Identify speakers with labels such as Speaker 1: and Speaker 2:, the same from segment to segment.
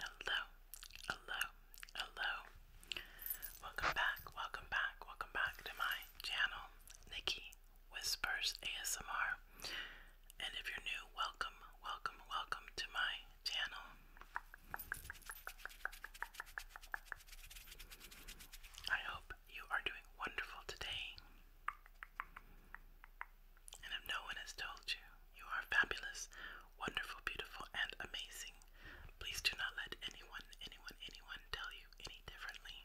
Speaker 1: Hello, hello, hello. Welcome back, welcome back, welcome back to my channel, Nikki Whispers ASMR. And if you're new, welcome, welcome, welcome to my channel. I hope you are doing wonderful today. And if no one has told you, you are fabulous, wonderful, beautiful, and amazing. Please do not let anyone, anyone, anyone tell you any differently.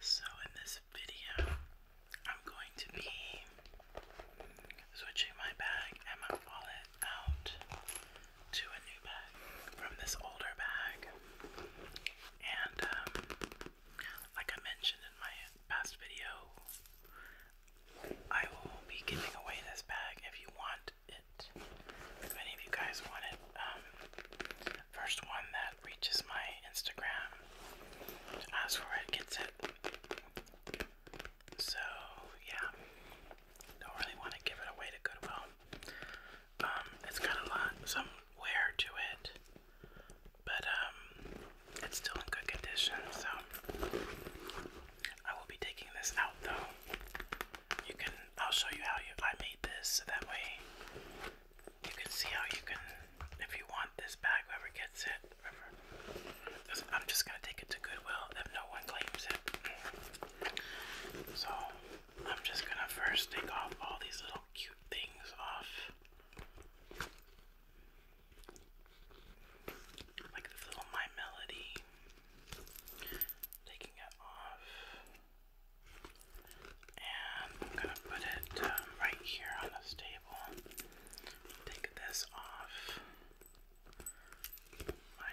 Speaker 1: So, in this video, I'm going to be switching my bag and my wallet out to a new bag from this older bag. And um, like I mentioned in my past video, I will be giving away this bag if you want it. If any of you guys want it, um, first one that reaches my Instagram to ask it gets it. So yeah, don't really want to give it away to Goodwill. Um, it's got a lot, some to it, but um, it's still in good condition. So I will be taking this out though. You can, I'll show you how you I made this so that way you can see how you can if you want this bag, whoever gets it, I'm just gonna take it to Goodwill if no one claims it. So I'm just gonna first take off all these little cute things off. Like this little My Melody. Taking it off. And I'm gonna put it um, right here on this table take this off my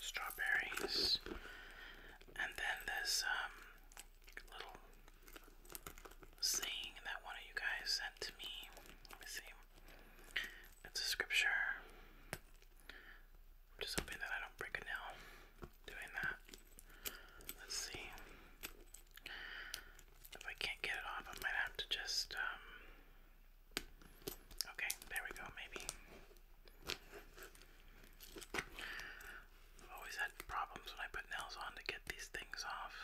Speaker 1: strawberries and then there's um little saying that one of you guys sent me. Let me see. It's a scripture. I'm Just hoping that I don't break a nail doing that. Let's see. If I can't get it off, I might have to just, um, Okay, there we go, maybe. I've always had problems when I put nails on to get these things off.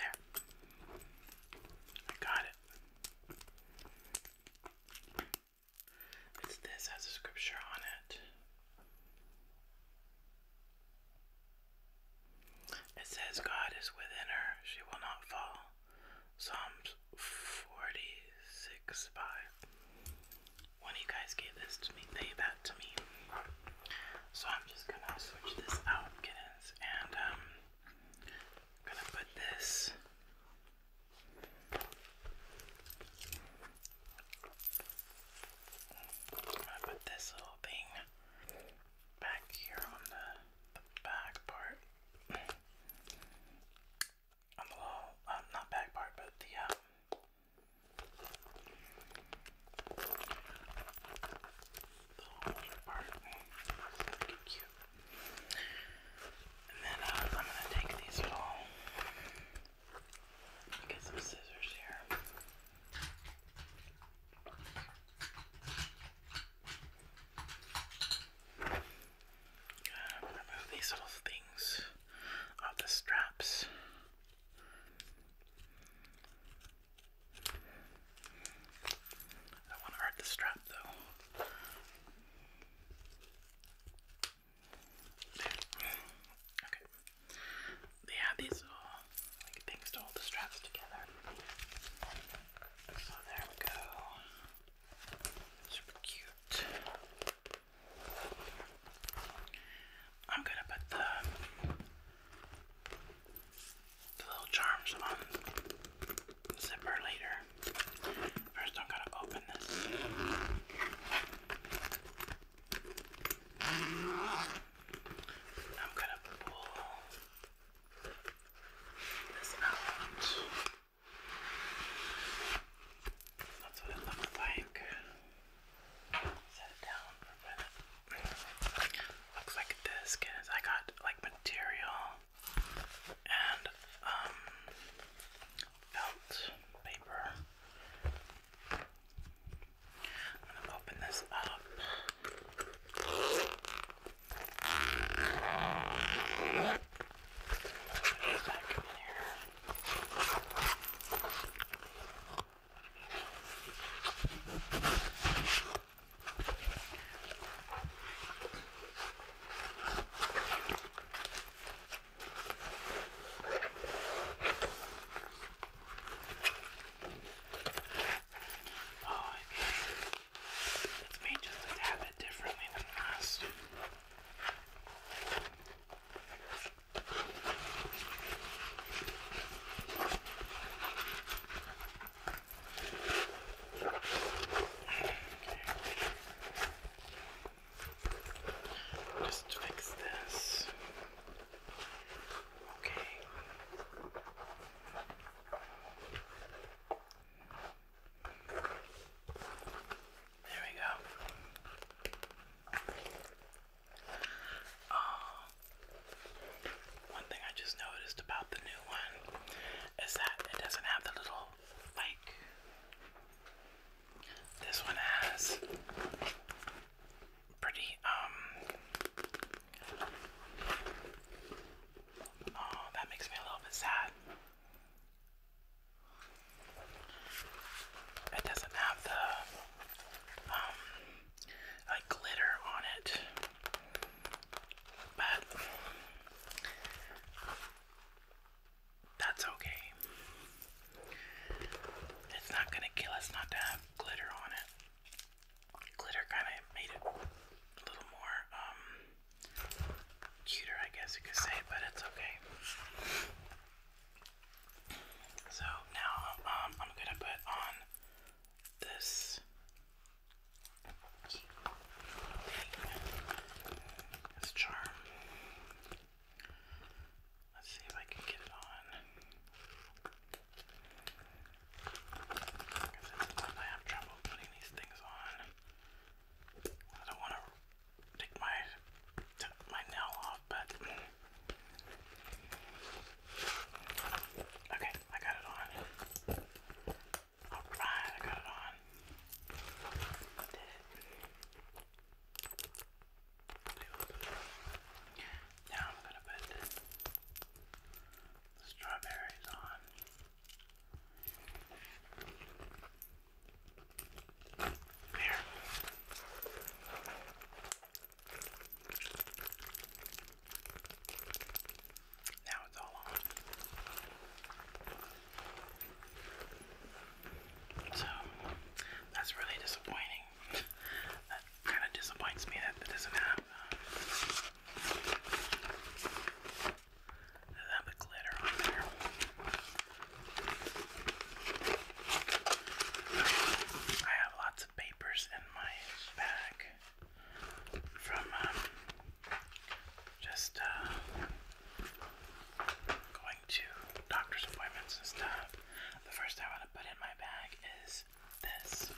Speaker 1: There. I got it this has a scripture on it. It says, God is within her, she will not fall. Psalms 46 5. When you guys gave this to me, they that to me. So I'm just gonna switch this out, kittens, and um, gonna put this I'm put this little thing back here on the, back part. On the little, uh, not back part, but the, um, part. It's cute. And then uh, I'm going to take these little, get some scissors here. I'm going to remove these little things off the straps. I want to hurt the strap though. Okay. these little like things to hold the straps together. So there we go. Super cute. I'm gonna put the little charms on zipper later. First, I'm gonna open this. I'm gonna pull this out. That's what it looks like. Set it down for a minute. Looks like this, guys. I got like material and um, felt paper. I'm gonna open this up. Back in here. Oh, okay. It's made just a tad bit differently than last. Just fix this. Okay. There we go. Um, one thing I just noticed about the new one is that it doesn't have the little like this one has pretty um oh that makes me a little bit sad. It doesn't have the um like glitter on it. But that's okay. It's not gonna kill us not to have glitter on it. Glitter kind of made it a little more um cuter, I guess you could say, but it's okay. So now um, I'm gonna put on this this charm. Let's see if I can get it on. I have trouble putting these things on. I don't want to take my my nail off, but okay, I got it on. Alright, I got it on. I did it. Now I'm gonna put the strawberries on. There. Now it's all on. So that's really disappointing. that kind of disappoints me that it doesn't have uh, I have lots of papers in my bag from um, just uh, going to doctor's appointments and stuff. The first I want to put in my bag is this.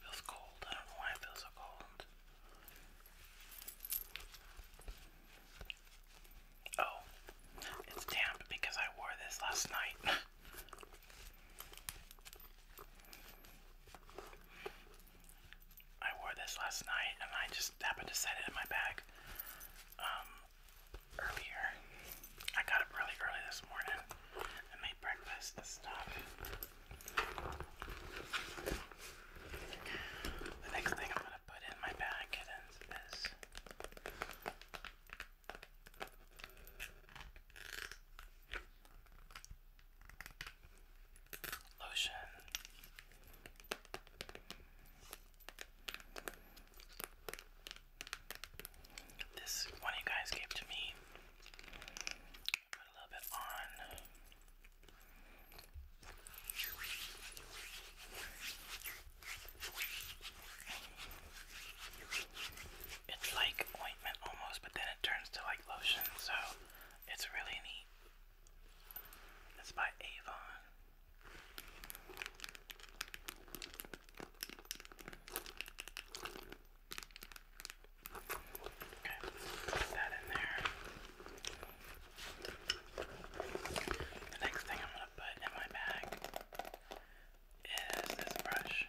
Speaker 1: Feels cold. I don't know why it feels so cold. Oh, it's damp because I wore this last night. I wore this last night and I just happened to set it in my bag um, earlier. I got up really early this morning and made breakfast and stuff. The next thing I'm gonna put in my bag is Lotion. This one you guys gave to me. Put a little bit on. It's like ointment almost, but then it turns to like lotion, so it's really neat. It's by Avon. Okay, put that in there. The next thing I'm gonna put in my bag is this brush.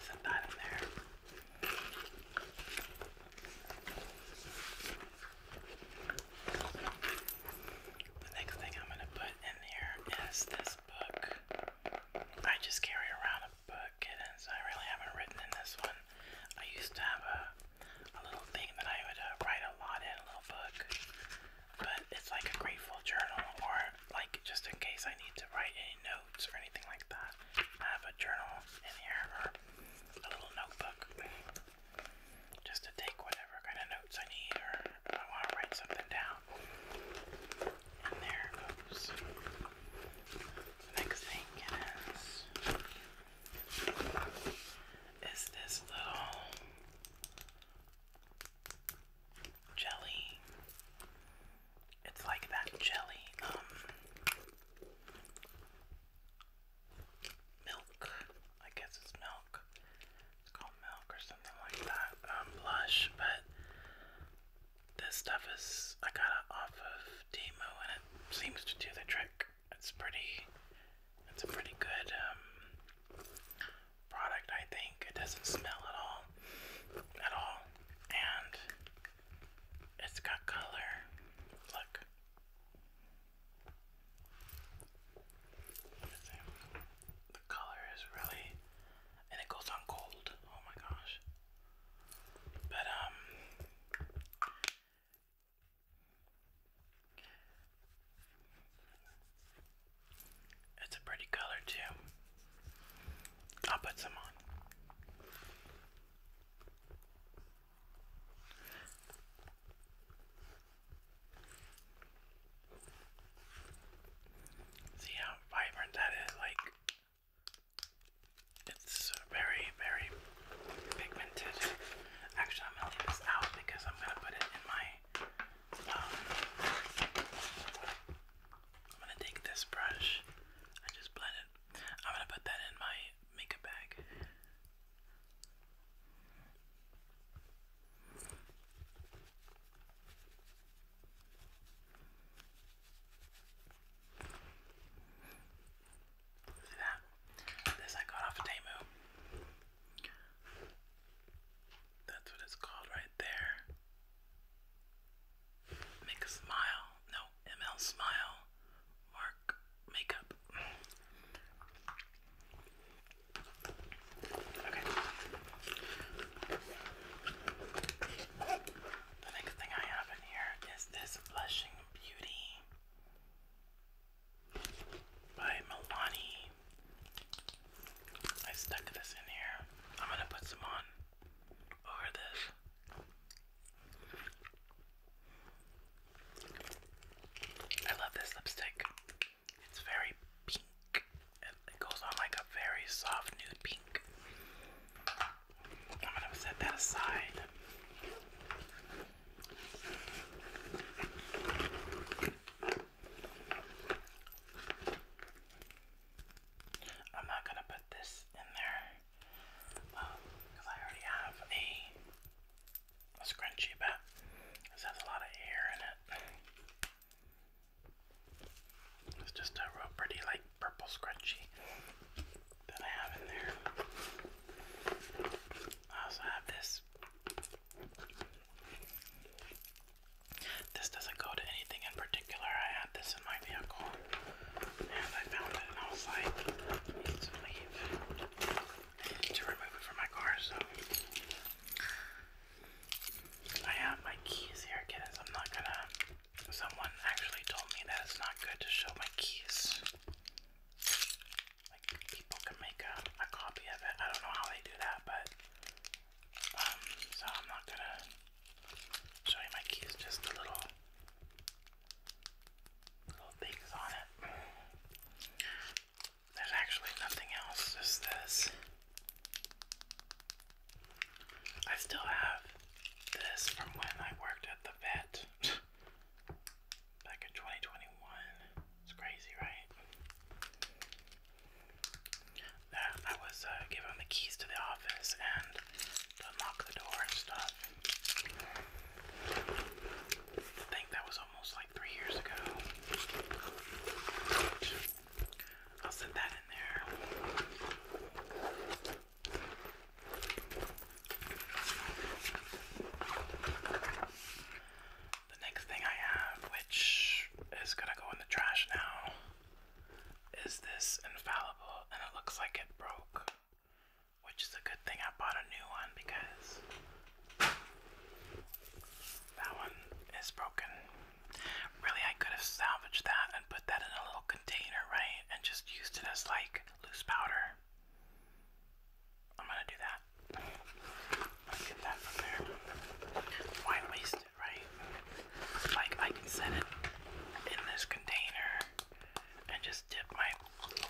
Speaker 1: Send that in there. The next thing I'm going to put in here is this book. I just carry around a book, and I really haven't written in this one. I used to have a, a little thing that I would uh, write a lot in, a little book, but it's like a grateful journal, or like just in case I need to write any notes or anything like that. I have a journal in here, or a little notebook just to take whatever kind of notes I need or I want to write something down. And there goes. next thing is is this little jelly. It's like that jelly, um, milk. I guess it's milk. It's called milk or something like that. Um, blush, but this stuff is I got it off of Demo, and it seems to do the trick. It's pretty. It's a pretty good um, product, I think. It doesn't smell at all, at all, and it's got color. Look. The color is really, and it goes on cold. Oh my gosh! But um, it's a pretty color too. I'll put some on. See how vibrant that is? Like, it's very, very pigmented. Actually, I'm gonna leave this out because I'm gonna put it in my. Um, I'm gonna take this brush. I just blend it. I'm gonna put that in my makeup bag. See that? This I got off of Temu. That's what it's called right there. Make a smile. No, ML smile. Mark dark makeup. Okay. The next thing I have in here is this Blushing Beauty by Milani. I stuck this in here. I'm gonna put some on over this. I love this lipstick. It's very pink. It goes on like a very soft nude pink. I'm gonna set that aside. I'm not gonna put this in there because uh, I already have a a scrunchie, but this has a lot of hair in it. It's just a real pretty, like, purple scrunchie that I have in there. I also have this. This doesn't go to anything in particular. I had this in my vehicle and I found it and I was like, need some leave to remove it from my car, so I have my keys here, kids. I'm not gonna. Someone actually told me that it's not good to show my keys. Like people can make a, a copy of it. I don't know how they do that, but um, so I'm not gonna show you my keys. Just a little little things on it. There's actually nothing else, just this. I still have this from when I worked at the vet back in 2021. It's crazy, right? Uh, I was uh, giving the keys to the office and to unlock the door and stuff. I think that was almost like three years ago. I'll set that in there. The next thing I have, which is gonna go in the trash now, is this infallible, and it looks like it broke. Which is a good thing I bought a new one because that one is broken. Really, I could have salvaged that and put that in a little container, right? And just used it as like loose powder. I'm gonna do that. I'll get that from Why waste it, right? Like, I can set it in this container and just dip my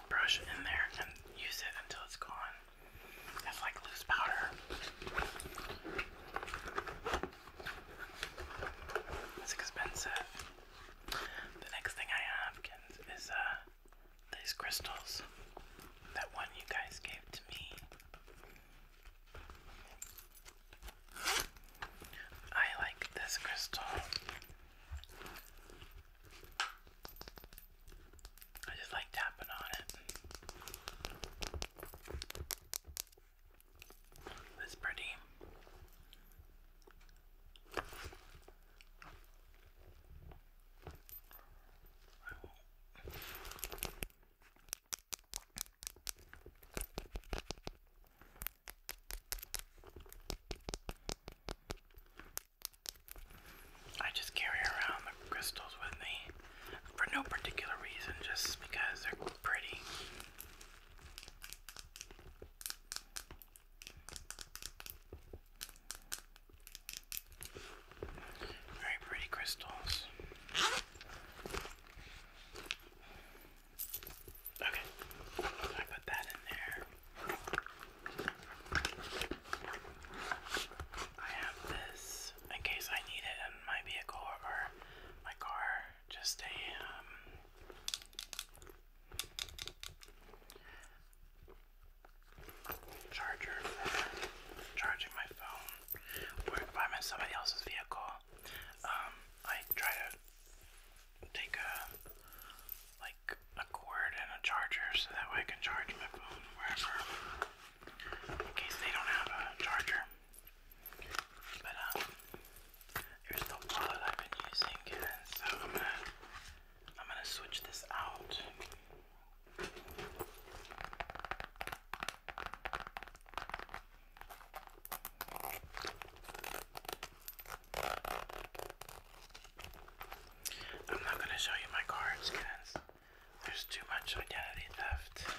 Speaker 1: brush in there and use it until it's gone. It's like loose powder. It's expensive. The next thing I have is uh, these crystals. That one you guys gave to me. I like this crystal. I just like tapping on it. It's pretty. I just carry around the crystals with me for no particular reason, just because they're pretty. Very pretty crystals. Okay, I put that in there. I have this in case I need it in my vehicle or my car. Just a um, charger charging my phone. Or I'm in somebody else's vehicle, um, I try to take a like a cord and a charger so that way I can charge my phone wherever in case they don't have a charger. But um here's the wallet I've been using so I'm gonna I'm gonna switch this out. I'm not gonna show you my cards because there's too much identity theft.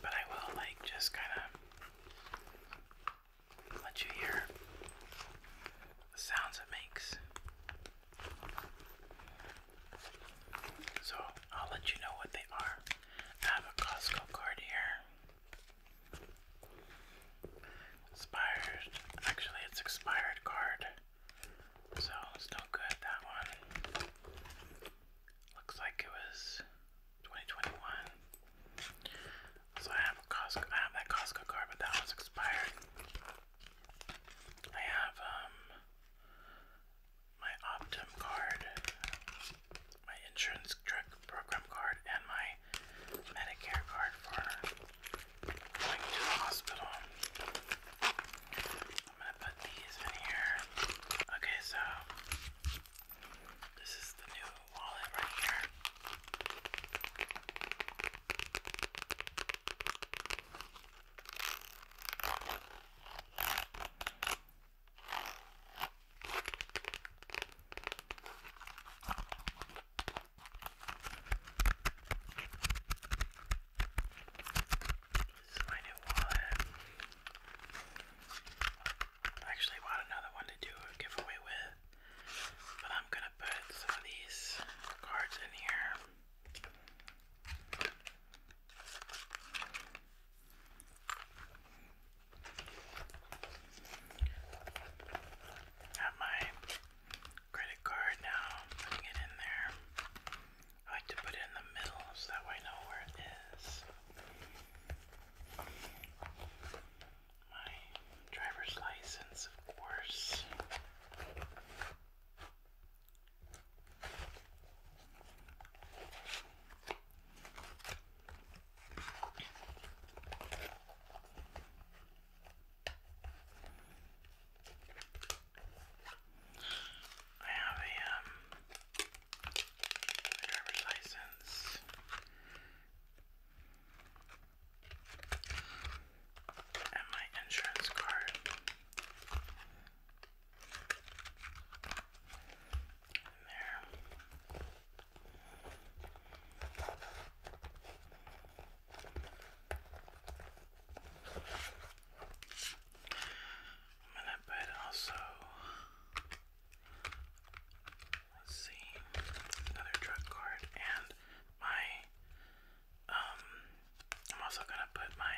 Speaker 1: But I will, like, just kinda let you hear the sounds it makes. So I'll let you know what they are. I have a Costco card here. Expired. Actually, it's expired card. So, still good, that one. Looks like it was 2021. So I have a Costco, I have that Costco card, but that one's expired. I have, um, my Optum card, my insurance drug program card, and my Medicare card for going to the hospital. I'm gonna put these in here. Okay, so this is the new wallet right here. This is my new wallet. I actually want another one to do a giveaway with, but I'm gonna put some of these cards in here. Have my credit card now. Putting it in there. I like to put it in the middle so that way I know where it is. My driver's license, of course. I have um, a driver's license. And my insurance card in there. I'm gonna put also let's see another drug card and my um, I'm also gonna put my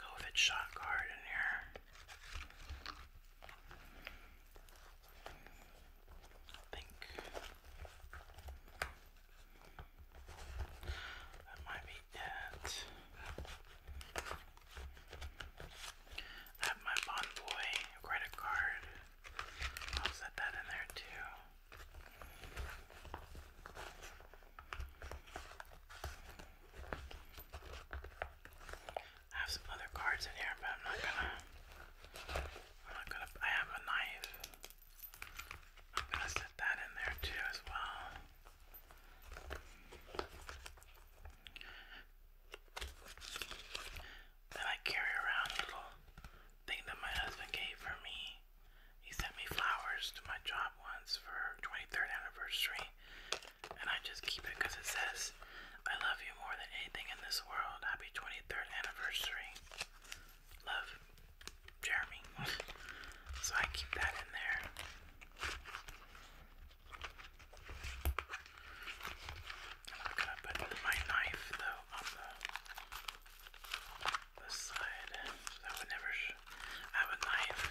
Speaker 1: COVID shot card in here. I think that might be it. I have my Bon Boy credit card. I'll set that in there too. I have some other cards in here, but I'm not gonna. I'm not gonna. I have a knife. I'm gonna set that in there too as well. Then I carry around a little thing that my husband gave for me. He sent me flowers to my job once for 23rd anniversary, and I just keep it because it says, I love you more than anything in this world. Happy 23rd anniversary. Love, Jeremy. so I keep that in there. I'm gonna put my knife though on the, the side. So I would never I have a knife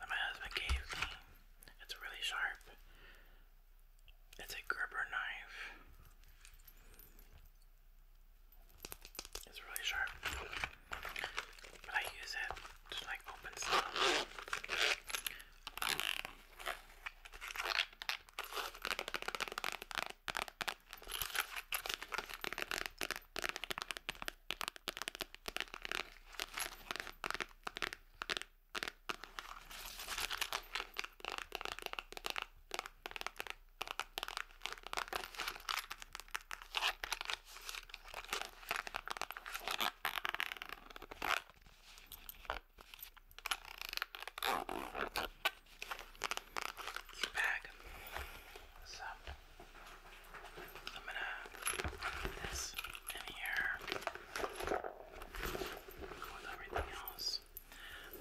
Speaker 1: that my husband gave me. It's really sharp. It's a Gerber knife. It's really sharp. But I use it to like open stuff. Cute bag. Sound. I'm gonna put this in here with everything else.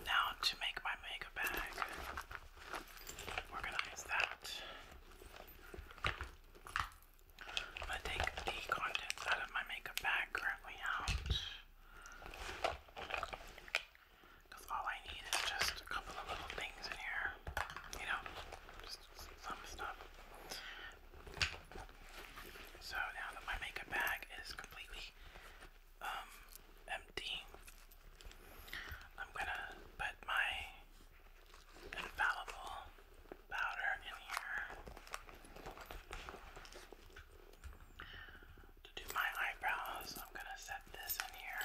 Speaker 1: Now, to make my makeup bag, organize that. I'm gonna take the contents out of my makeup bag currently out. Because all I need is just a couple of little things in here. You know, some stuff. So now that my makeup bag is completely um, empty, I'm gonna put my infallible powder in here to do my eyebrows. I'm gonna set this in here.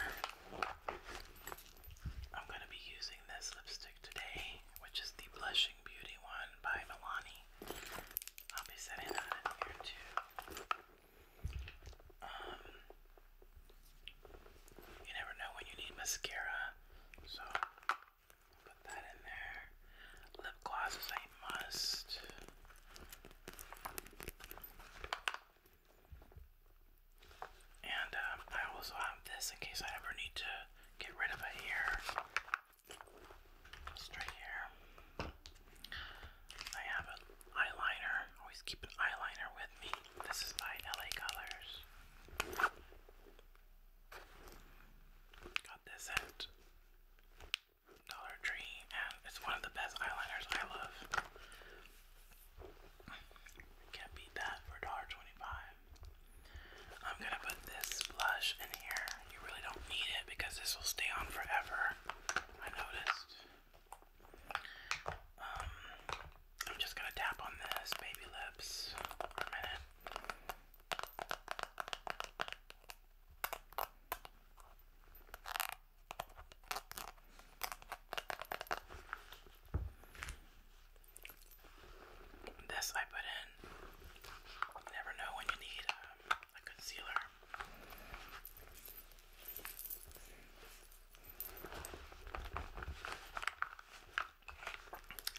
Speaker 1: I'm going to be using this lipstick today, which is the Blushing Beauty one by Milani. I'll be setting that here too. Um, you never know when you need mascara, so put that in there. Lip gloss is a must. And um, I also have this in case I ever need to get rid of it here. Just I have an eyeliner. Always keep an eyeliner with me. This is by LA Colors. Got this at Dollar Tree, and it's one of the best eyeliners I love. Can't beat that for $1.25. I'm gonna put this blush in here. You really don't need it because this will stay on forever. I noticed. Um, I'm just gonna tap on this baby lips for a minute. This I put in. never know when you need uh, a concealer.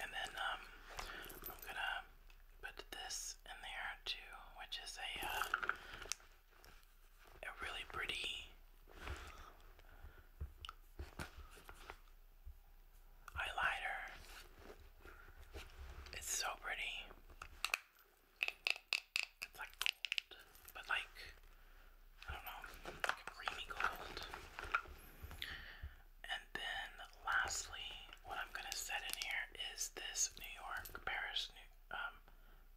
Speaker 1: And then um, I'm gonna put this in there too, which is a uh, a really pretty eyeliner. It's so pretty. It's like gold, but like I don't know, creamy gold. And then lastly, what I'm gonna set in here is this New York Paris um,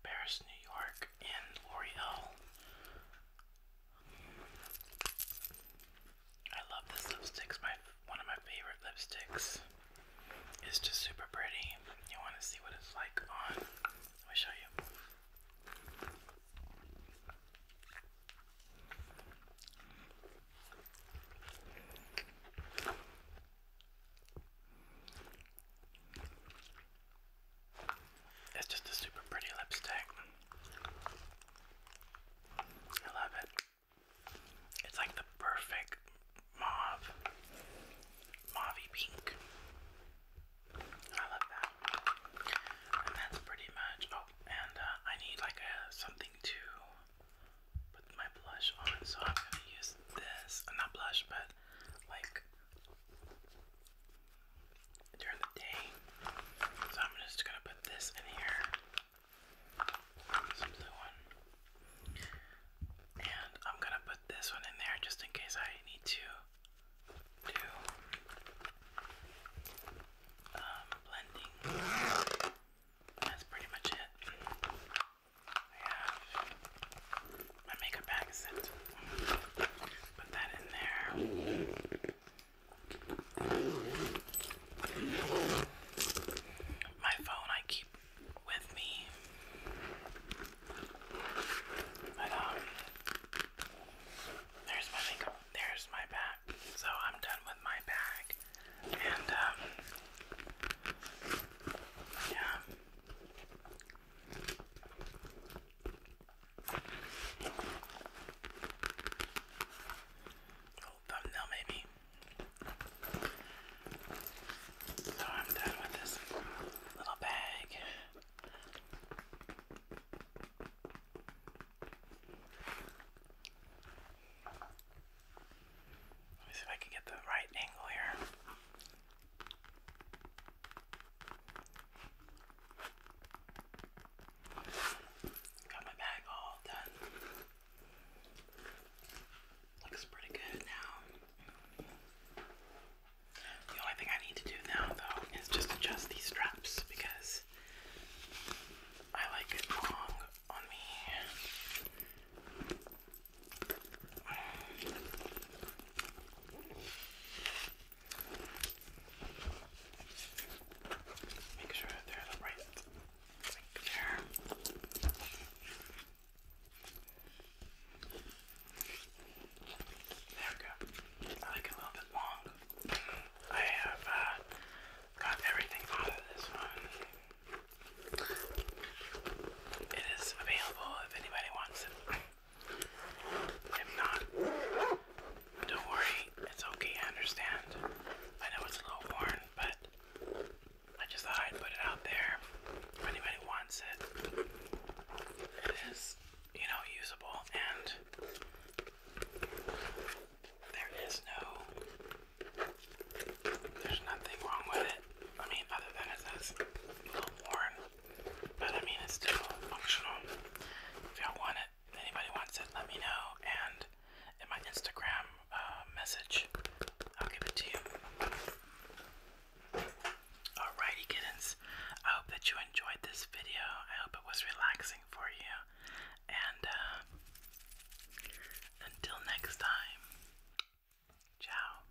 Speaker 1: Paris, New York, and Oriole. I love this lipstick. my one of my favorite lipsticks. It's just super pretty. You want to see what it's like on? Let me show you. It's just a super pretty lipstick. I love it. It's like the perfect mauve, mauvey pink. I love that. And that's pretty much. Oh, and uh, I need like a something to put my blush on, so I'm gonna use this. Not blush, but like during the day. So I'm just gonna put this in here. Some one. And I'm gonna put this one in there just in case I need to do um, blending. That's pretty much it. I have my makeup bag is it. Put that in there. My phone I keep with me. But um there's my makeup there's my bag. So I'm done with my bag. And um yeah. Oh, thumbnail, maybe. So I'm done with this little bag. Let me see if I can get the right angle here. Got my bag all done. Looks pretty good now. The only thing I need to do now, though, is just adjust these straps because I like it long on me. Make sure they're the right there. There we go. I like a little bit long. I have uh, got everything out of this one. It is available if anybody wants it. If not, don't worry, it's okay, I understand. I know it's a little worn, but I just thought I'd put it out there. If anybody wants it, it is, you know, usable, and there is no, there's nothing wrong with it. I mean, other than it's a little worn. But I mean, it's still functional. If y'all want it, anybody wants it, let me know. And in my Instagram uh, message, I'll give it to you. Alrighty, kittens. I hope that you enjoyed this video. I hope it was relaxing for you. And uh, until next time, ciao.